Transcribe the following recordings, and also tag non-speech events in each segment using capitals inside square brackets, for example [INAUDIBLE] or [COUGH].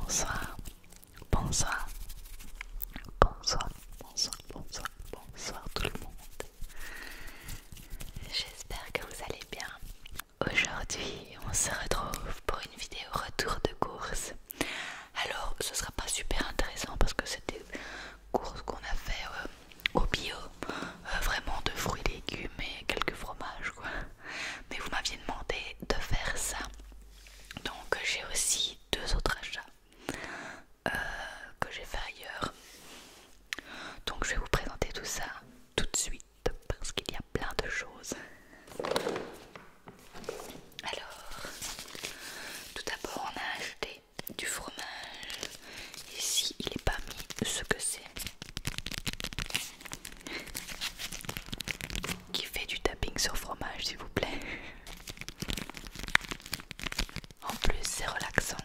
Bonsoir, bonsoir, bonsoir, bonsoir, bonsoir, bonsoir tout le monde. J'espère que vous allez bien. Aujourd'hui, on se retrouve pour une vidéo retour de course. Alors, ce sera pas super intéressant parce que c'était des courses qu'on a fait euh, au bio, euh, vraiment de fruits, légumes et quelques fromages quoi. Mais vous m'aviez demandé de faire ça, donc j'ai aussi deux autres achats. Euh, que j'ai fait ailleurs. Donc je vais vous présenter tout ça tout de suite parce qu'il y a plein de choses. Alors, tout d'abord on a acheté du fromage. Ici il est pas mis ce que c'est. Qui fait du tapping sur fromage s'il vous plaît en plus, c'est relaxant.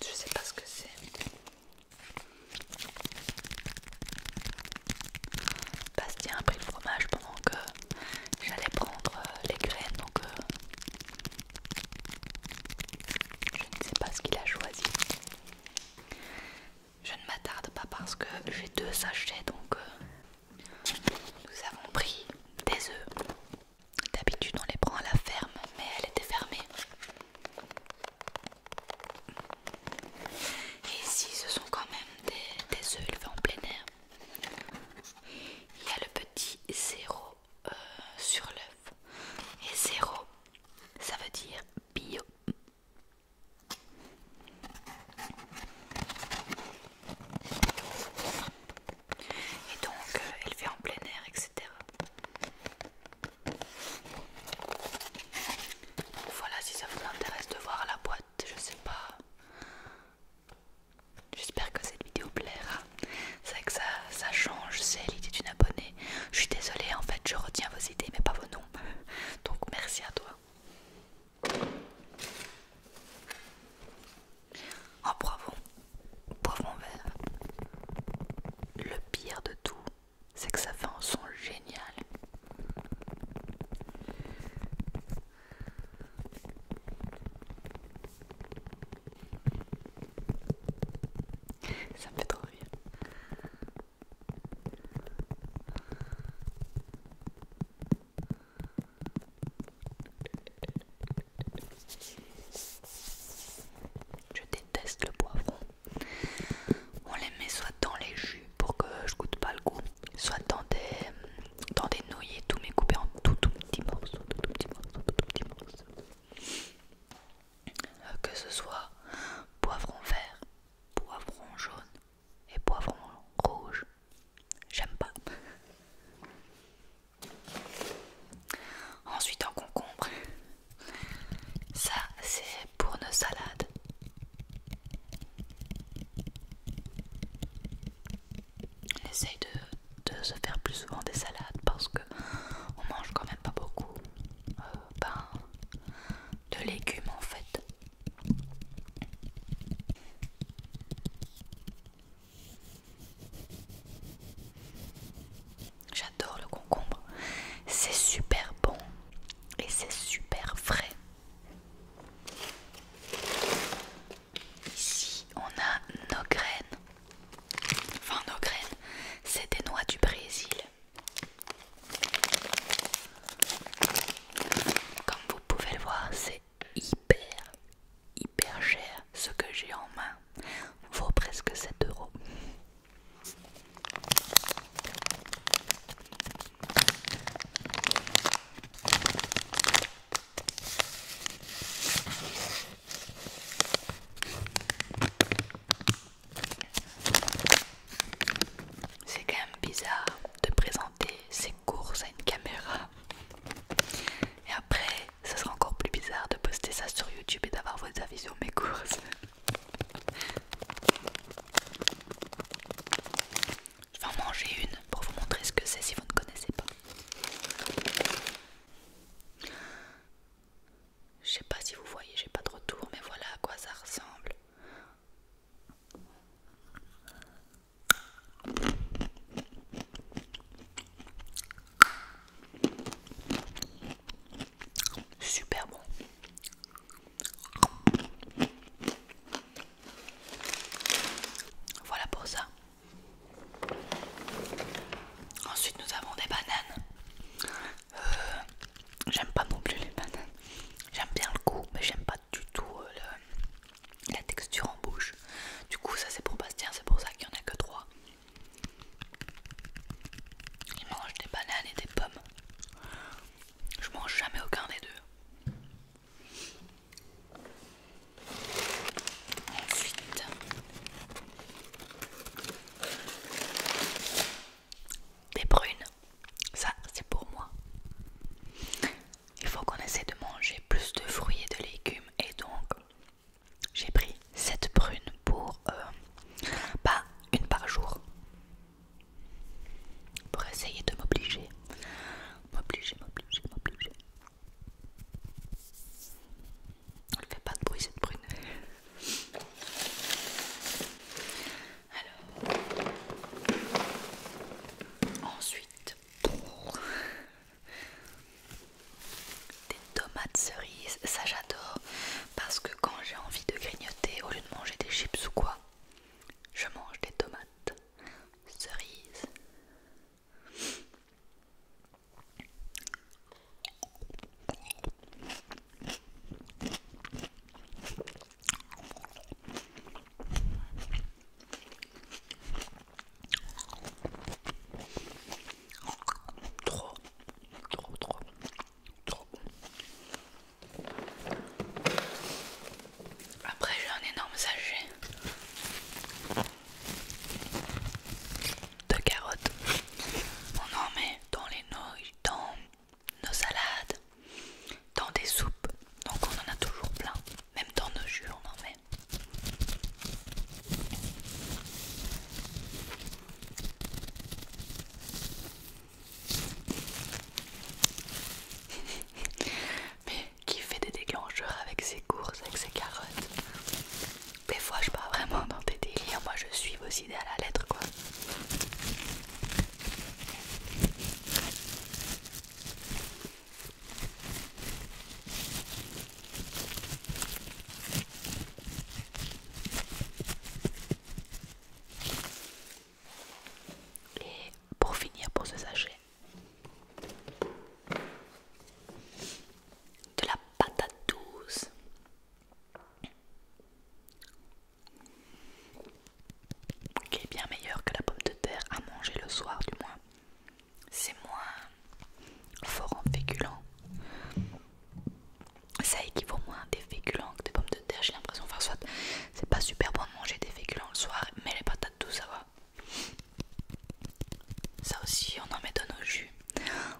Je sais pas ce que c'est. Bastien a pris le fromage pendant que j'allais prendre euh, les graines, donc euh, je ne sais pas ce qu'il a choisi. Je ne m'attarde pas parce que j'ai deux sachets, donc euh, nous avons pris des œufs. D'habitude, on les prend à la ferme, mais elle était fermée. Et ici, ce sont quand même des, œufs élevés en plein air. Il y a le petit zéro euh, sur l'œuf. Et zéro ça veut dire bio. Et donc euh, elle fait en plein air, etc. Voilà si ça vous intéresse de voir la boîte, je sais pas. J'espère que cette vidéo plaira. C'est vrai que ça, ça change, c'est l'idée d'une abonnée. Je suis désolée en fait, je retiens vos idées mais pas vos noms. Donc merci à toi en bravo, pauvre mon verre. Le pire de tout, c'est que ça fait un son génial. Ça me fait trop rire. Je déteste le poivron. On les met soit dans les jus pour que je goûte pas le goût, soit dans des, dans des nouilles et tout, mais en tout, tout tout petits morceaux. Euh, que ce soit poivron vert, poivron jaune, et poivron rouge. J'aime pas. Ensuite en concombre. Ça c'est pour nos salades. On de, se faire plus souvent des salades parce que on mange quand même pas beaucoup euh, ben, de légumes en fait. J'adore le concombre, c'est super bon et c'est super frais. Ici, on a nos graines. Enfin, nos graines, c'est des noix du Brésil vous pouvez le voir, c'est hyper, hyper cher ce que j'ai en main. Vaut presque 7 euros. C'est quand même bizarre de présenter ses courses à une caméra. Et après, ce sera encore plus bizarre de poster ça sur YouTube et d'avoir vos avis sur mes courses. Je vais en manger une pour vous montrer ce que c'est si vous ne connaissez pas. Je sais pas si vous voyez, j'ai pas de retour, mais voilà à quoi ça ressemble. Super bon. Voilà pour ça. Ensuite, nous avons des bananes. Euh, j'aime pas non plus les bananes. J'aime bien le goût, mais j'aime pas du tout euh, la texture en bouche. Du coup, ça c'est pour Bastien, c'est pour ça qu'il n'y en a que trois Il mange des bananes et des pommes. Je mange jamais aucun des deux. Ensuite, des prunes. Ça, c'est pour moi. Il faut qu'on essaie de manger plus de fruits et de légumes. Et donc, j'ai pris cette prune pour euh, pas une par jour. Pour essayer de m'obliger. M'obliger, m'obliger, m'obliger. Elle fait pas de bruit cette prune. Alors, ensuite, des tomates cerises, ça j'adore parce que quand j'ai envie de grignoter, au lieu de manger des chips ou quoi, je mange des tomates cerises. Trop, trop, trop, trop Après, j'ai un énorme sachet de carottes. On en met dans les noix, dans nos salades, dans des soupes. Donc on en a toujours plein, même dans nos jus on en met. [LAUGHS] Mais qui fait des déclencheurs avec ses courses, avec ses carottes Des fois je pars vraiment dans tes délires, moi je suis vos idées à la lettre quoi. Et pour finir pour ce sachet, de la patate douce qui est bien meilleur que la pomme de terre à manger le soir du moins. C'est moins fort en féculents. Ça équivaut moins à des féculents que des pommes de terre, j'ai l'impression. Enfin, soit c'est pas super bon de manger des féculents le soir, mais les patates douces ça va. Ça aussi, on en met dans nos jus.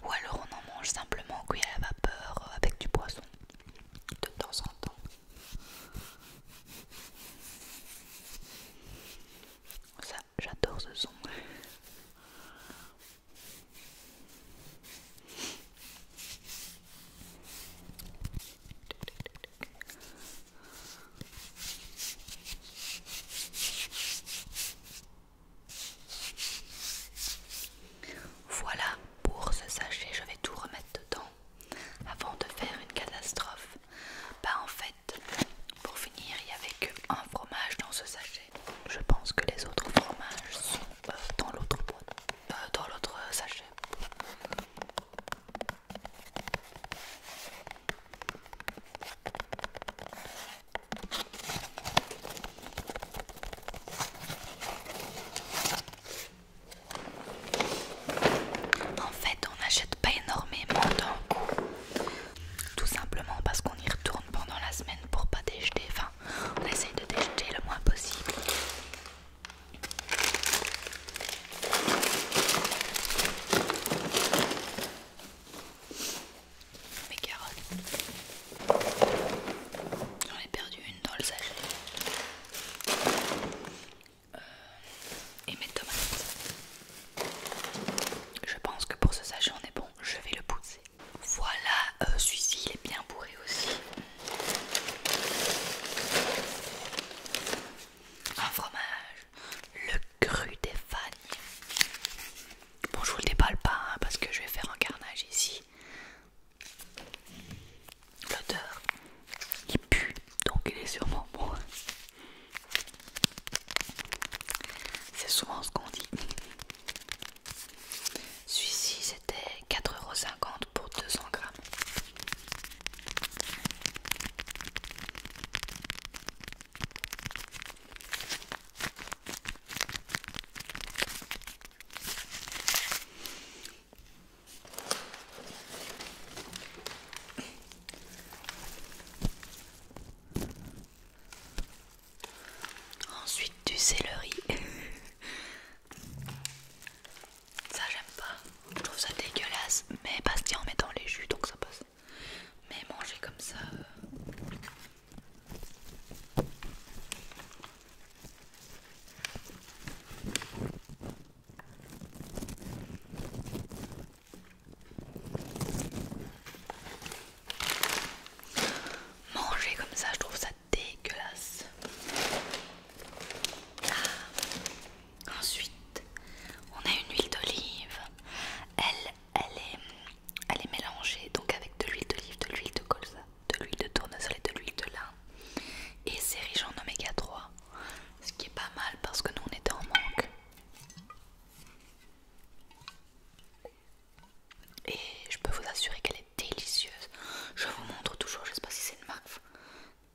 Ou alors on en mange simplement cuit à la vapeur euh, avec du poisson de temps en temps. Ça, j'adore ce son. Voilà, pour ce sachet, je vais tout remettre dedans avant de faire une catastrophe. Bah en fait, pour finir, il n'y avait qu'un fromage dans ce sachet. Je pense que les autres fromages sont euh, dans l'autre euh, dans l'autre sachet. En fait, on n'achète pas énormément d'un coup, tout simplement parce qu'on y retourne pendant la semaine pour pas déjeter. Enfin, on essaye de déjeter le moins possible. Mes carottes. J'en ai perdu une dans le sachet. Euh, et mes tomates. Je pense que pour ce sachet on est bon. Je vais le pousser. Voilà, euh, celui-ci il est bien bourré aussi. Un fromage, le cru des fagnes. Bon, je vous le déballe pas hein, parce que je vais faire un carnage ici. L'odeur, il pue, donc il est sûrement bon. C'est souvent ce qu'on dit. Celui-ci, c'était 4,50€ pour 200 grammes. Ensuite du céleri. ça j'aime pas. Je trouve ça dégueulasse. Mais Bastien en mettant les jus donc ça passe. Mais manger comme ça, euh, Manger comme ça, je trouve ça dégueulasse. Ah. Ensuite, on a une huile d'olive. Elle, elle est, mélangée donc avec de l'huile d'olive, de l'huile de colza, de l'huile de tournesol et de l'huile de lin. Et c'est riche en oméga 3, ce qui est pas mal parce que nous on était en manque. Et je peux vous assurer qu'elle est délicieuse. Je vous montre toujours, je sais pas si c'est une marque,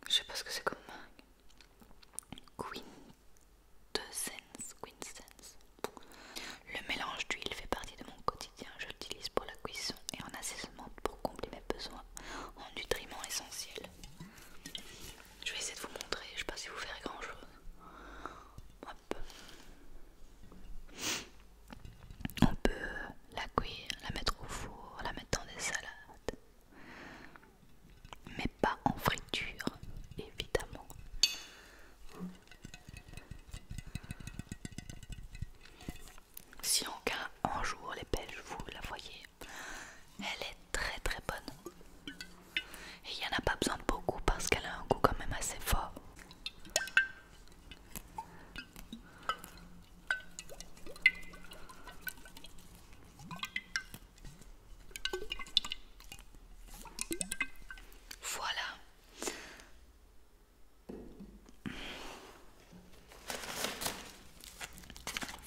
je sais pas ce que c'est comme Queen de Z. Le mélange d'huile fait partie de mon quotidien. Je l'utilise pour la cuisson et en assaisonnement pour combler mes besoins en nutriments essentiels. Je vais essayer de vous montrer. Je ne sais pas si vous verrez grand chose. On peut la cuire, la mettre au four, la mettre dans des salades, mais pas en friture, évidemment. Si en cas un jour les Belges vous la voyez, elle est très très bonne. Et il n'y en a pas besoin de beaucoup parce qu'elle a un goût quand même assez fort. Voilà,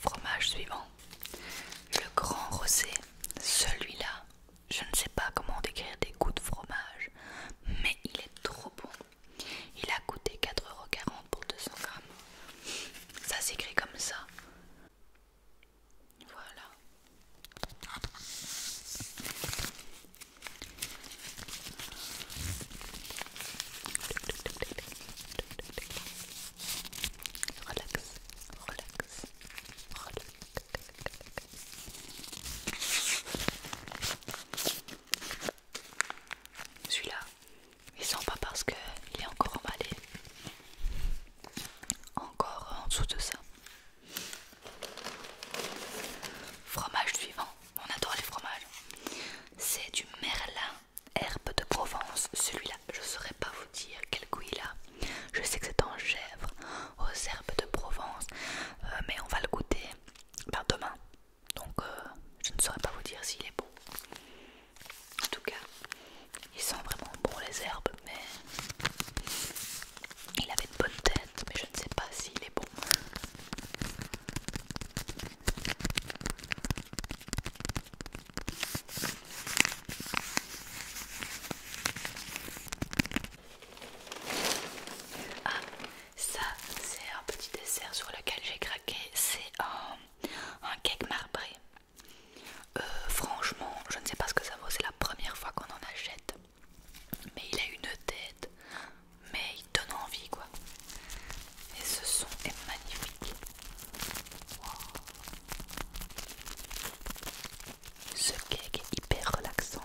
Fromage suivant, le grand rosé. Celui-là, je ne sais pas comment décrire des goûts de fromage, mais il est trop bon. Il a coûté 4,40€ pour 200 grammes. Ça s'écrit comme ça. Voilà. Relax, Celui-là, il sent pas parce qu'il est encore emballé. Encore en dessous de ça. Fromage suivant, on adore les fromages. C'est du merlin, herbe de Provence. Celui-là, je ne saurais pas vous dire quel goût il a. Je sais que c'est en chèvre, aux herbes de Provence, euh, mais on va le goûter par ben, demain. Donc euh, je ne saurais pas vous dire s'il est beau, En tout cas, il sent vraiment bon les herbes, mais il avait de bonnes têtes mais je ne sais pas s'il est bon. Ah, ça c'est un petit dessert sur lequel j'ai craqué, c'est un cake marbré. Euh, franchement, je ne sais pas ce que ça vaut, c'est la première fois qu'on en achète. Mais il a une tête, mais il donne envie quoi. Et ce son est magnifique. Ce cake est hyper relaxant.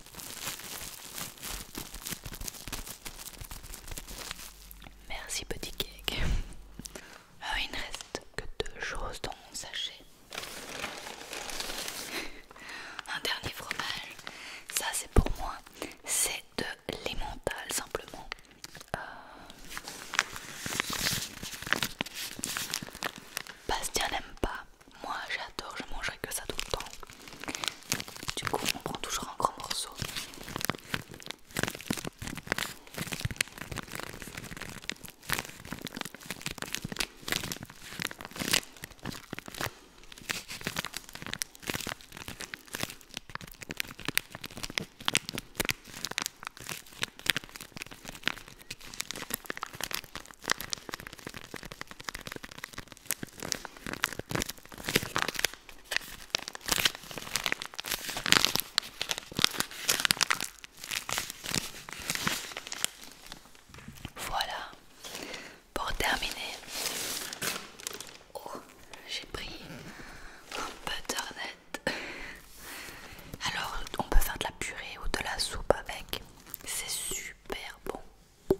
Merci petit cake. Ah, il ne reste que deux choses dans mon sachet. Un dernier fromage. Ça c'est pour moi. C'est de l'emmental simplement. Euh, Bastien n'aime pas moi j'adore, je mangerai que ça tout le temps. Du coup, on prend toujours un grand morceau. Voilà, pour terminer, oh, j'ai pris un net. Alors, on peut faire de la purée ou de la soupe avec, c'est super bon. On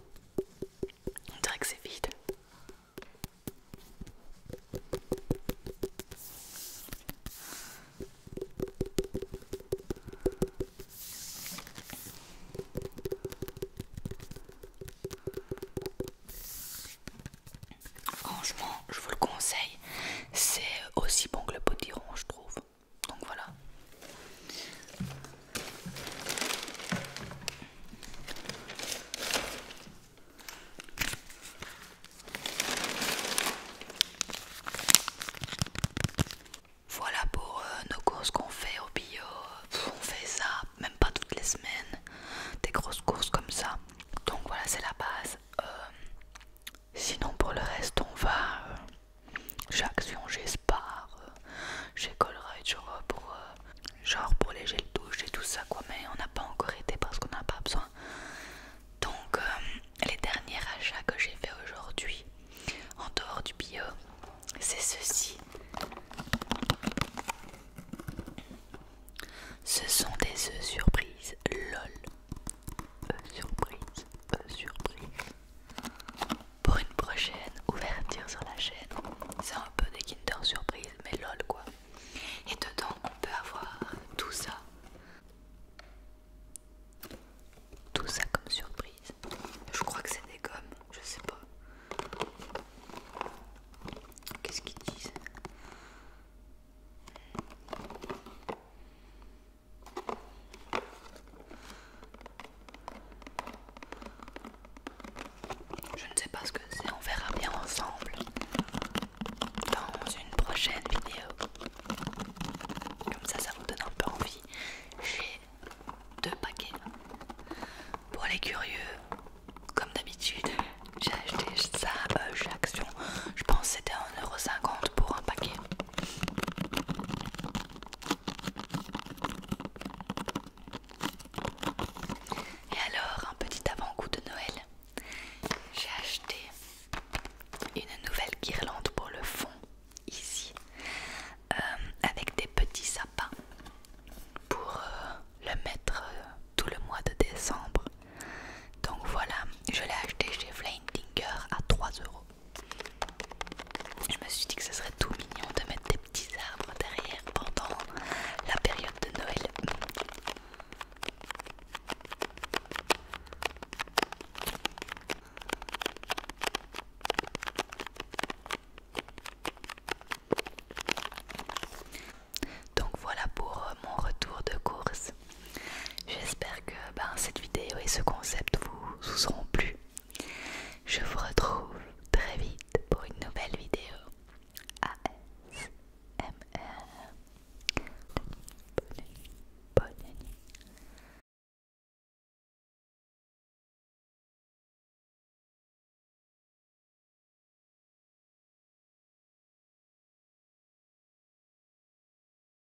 dirait que c'est vide. Franchement, je vous le conseille, c'est aussi bon que le potiron, je trouve. Donc voilà. Voilà pour euh, nos courses qu'on fait au bio. on fait ça, même pas toutes les semaines, des grosses courses comme ça. Donc voilà, c'est la base. Euh, sinon pour le reste, on va... Euh, j'ai Action, chez Spar, euh, chez genre euh, pour, euh, genre pour les gels douche et tout ça quoi. Mais on n'a pas encore été parce qu'on n'a pas besoin. Donc les derniers achats que j'ai fait aujourd'hui en dehors du bio, c'est ceci. Ce sont des œufs surprises, lol. Œufs surprises, œufs surprises pour une prochaine ouverture sur la chaîne. C'est un peu des Kinder Surprise, mais lol quoi. Et dedans, on peut avoir tout ça. Tout ça comme surprise. Je crois que c'est des gommes, je sais pas. Qu'est-ce qu'ils disent je ne sais pas ce que c'est, on verra bien ensemble dans une prochaine vidéo. Comme ça, ça vous donne un peu envie. J'ai deux paquets. Pour les curieux, comme d'habitude, j'ai acheté ça à euh, chez Action. Je pense que c'était 1,50€ pour un paquet. Et alors, un petit avant-goût de Noël. J'ai acheté une nouvelle guirlande pour le fond, ici, euh, avec des petits sapins pour euh, le mettre euh, tout le mois de décembre. Donc voilà, je l'ai acheté chez Flame à 3 euros. Je me suis dit que ce serait tout mignon de mettre des petits arbres derrière pendant la période de Noël. Donc voilà pour euh, mon retour de course. J'espère que ben, cette vidéo et ce concept vous, vous auront plu. Je vous retrouve très vite pour une nouvelle vidéo. ASMR. Bonne bonne nuit.